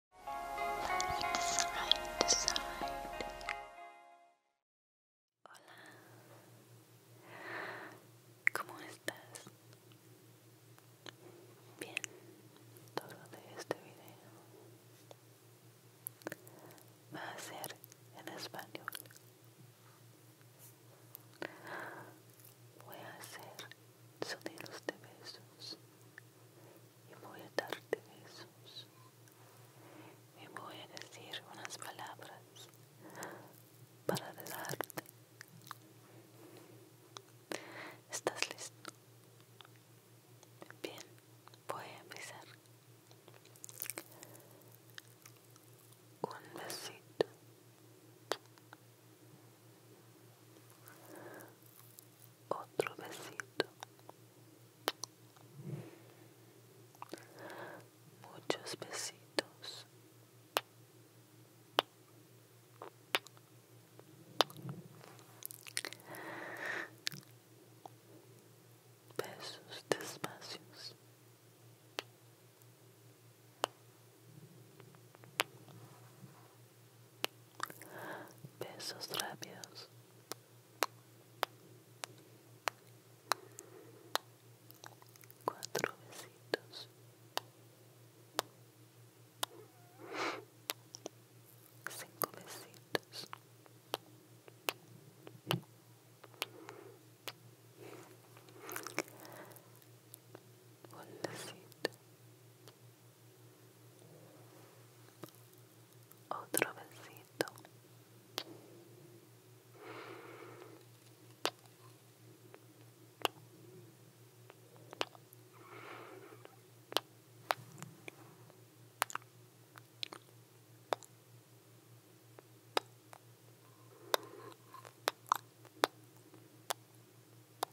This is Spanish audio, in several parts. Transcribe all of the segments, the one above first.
Hola, ¿cómo estás? Bien, todo de este video va a ser en español. Voy a hacer sonidos de besos y voy a darte besos y voy a decir unas palabras para dejarte ¿Estás listo? Bien, voy a empezar. Un besito otro besito. Muchos besitos. Besos despacios besos rápidos cuatro besitos cinco besitos un besito otro besito.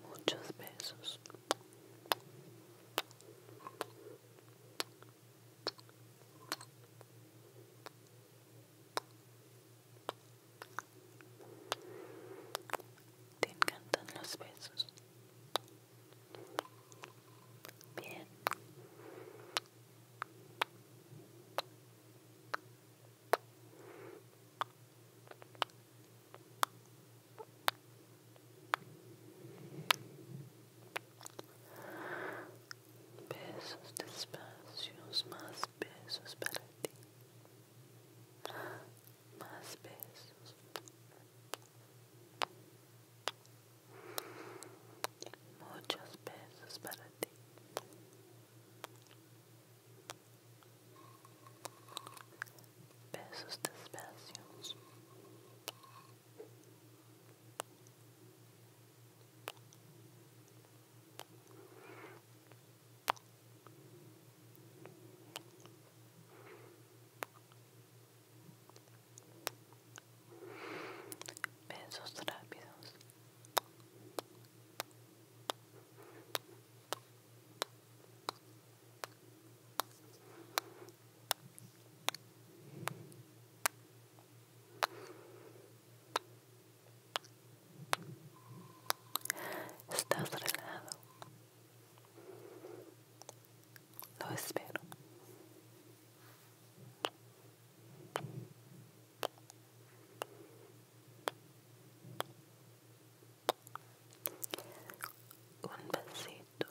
muchos besos. Te encantan los besos. Bien. Besos despacios, más besos para ti. Más besos. Muchos besos para ti besos despacios besos rápidos Estás relajado. Lo espero un besito,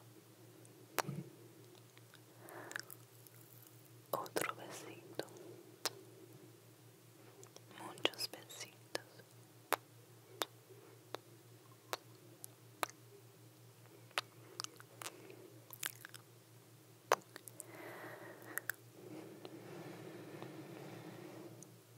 otro besito, muchos besitos.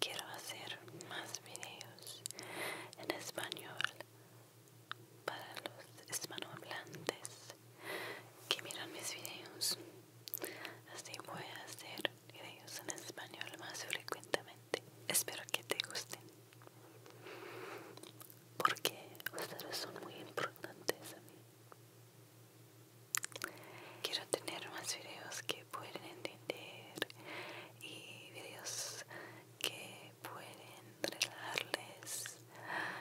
Quiero hacer más videos en español para los hispanohablantes que miran mis videos. Así voy a hacer videos en español más frecuentemente. Espero que te gusten. Porque ustedes son muy importantes a mí. Quiero tener más videos que pueden entender y videos que pueden relajarles,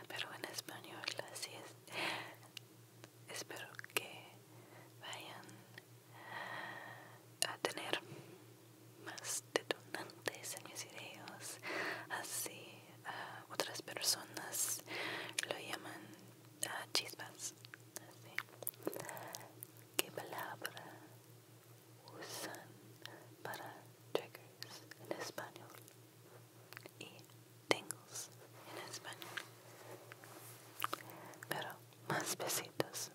pero en español así es. Espero que vayan a tener más detonantes en mis videos, así eh, otras personas lo llaman uh, chispas. ¿Qué palabra usan para triggers en español? Y tingles en español. Pero más besitos.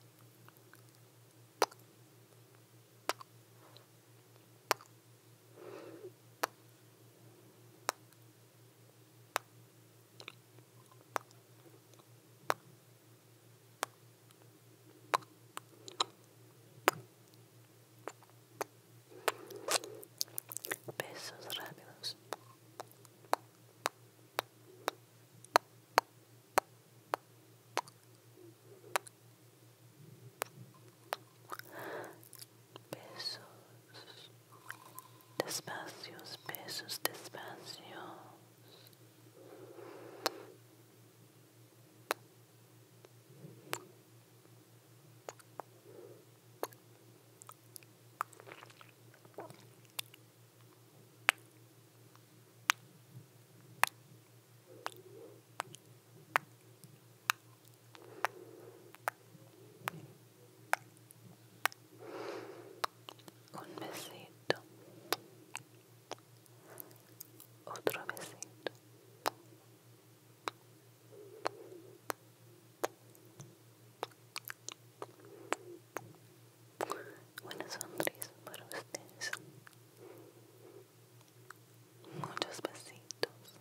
Besos rápidos. Besos. Despacios, besos, despacios un besito otro besito Buenos sonrisa para ustedes muchos besitos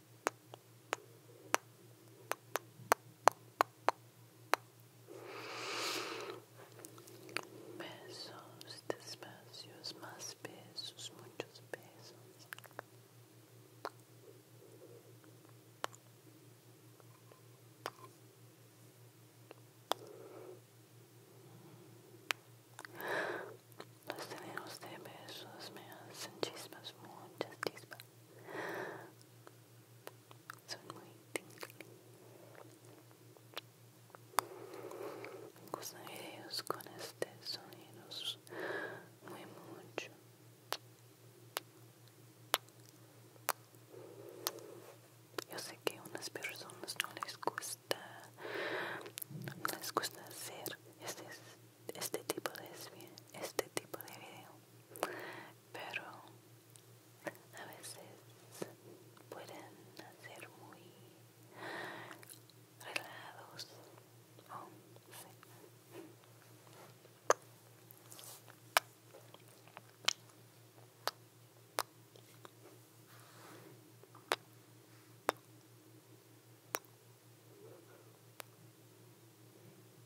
Besos despacios, más besos, muchos besos. Los tenemos de besos me hacen chispas, muchas chispas son muy tingly me gustan videos con este sonidos muy mucho yo sé que a unas personas no les gusta no les gusta hacer este este tipo de este tipo de video pero a veces pueden ser muy relajados oh,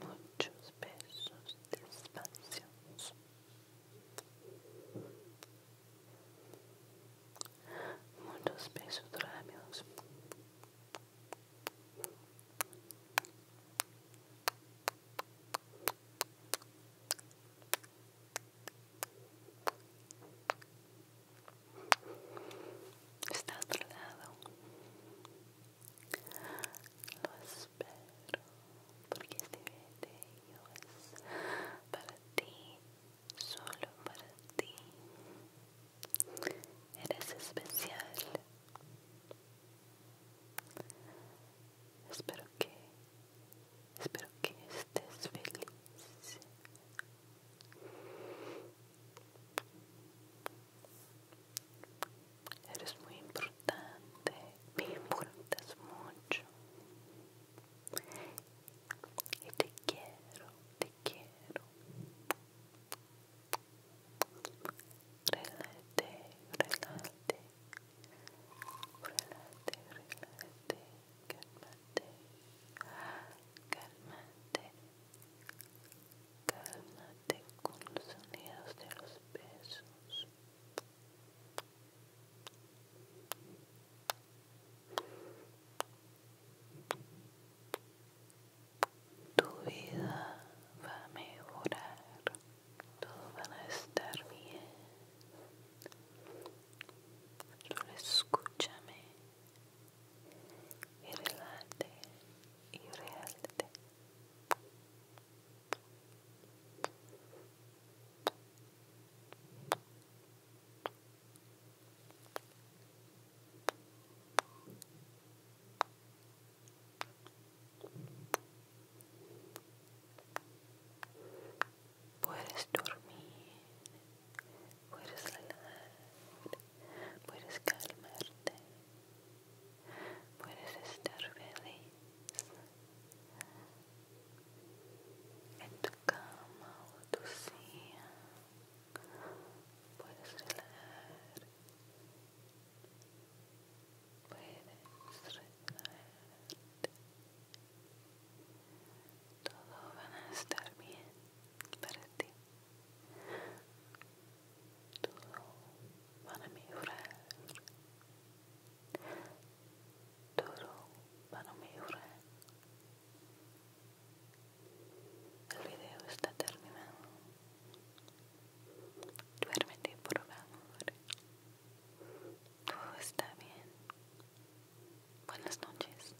muchos de espacios, muchos besos está Estás lado. Lo espero porque este video es para ti, solo para ti. Eres especial. Espero que, espero que estés feliz. Eres muy importante, me importas mucho. Y te quiero, te quiero. Relate, relate, relate, relate, Cálmate. Cálmate. Cálmate con los sonidos de los besos. Tu vida va a mejorar, todo van a estar bien. Solo escúchame y relate y realte. Puedes dormir, puedes relajar puedes calmarte, puedes estar feliz en tu cama o tu silla, puedes relajar, puedes relajarte. Todo va a estar bien para ti todo van a mejorar todo van a mejorar el video está terminado duérmete por favor todo está bien buenas noches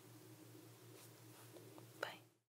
bye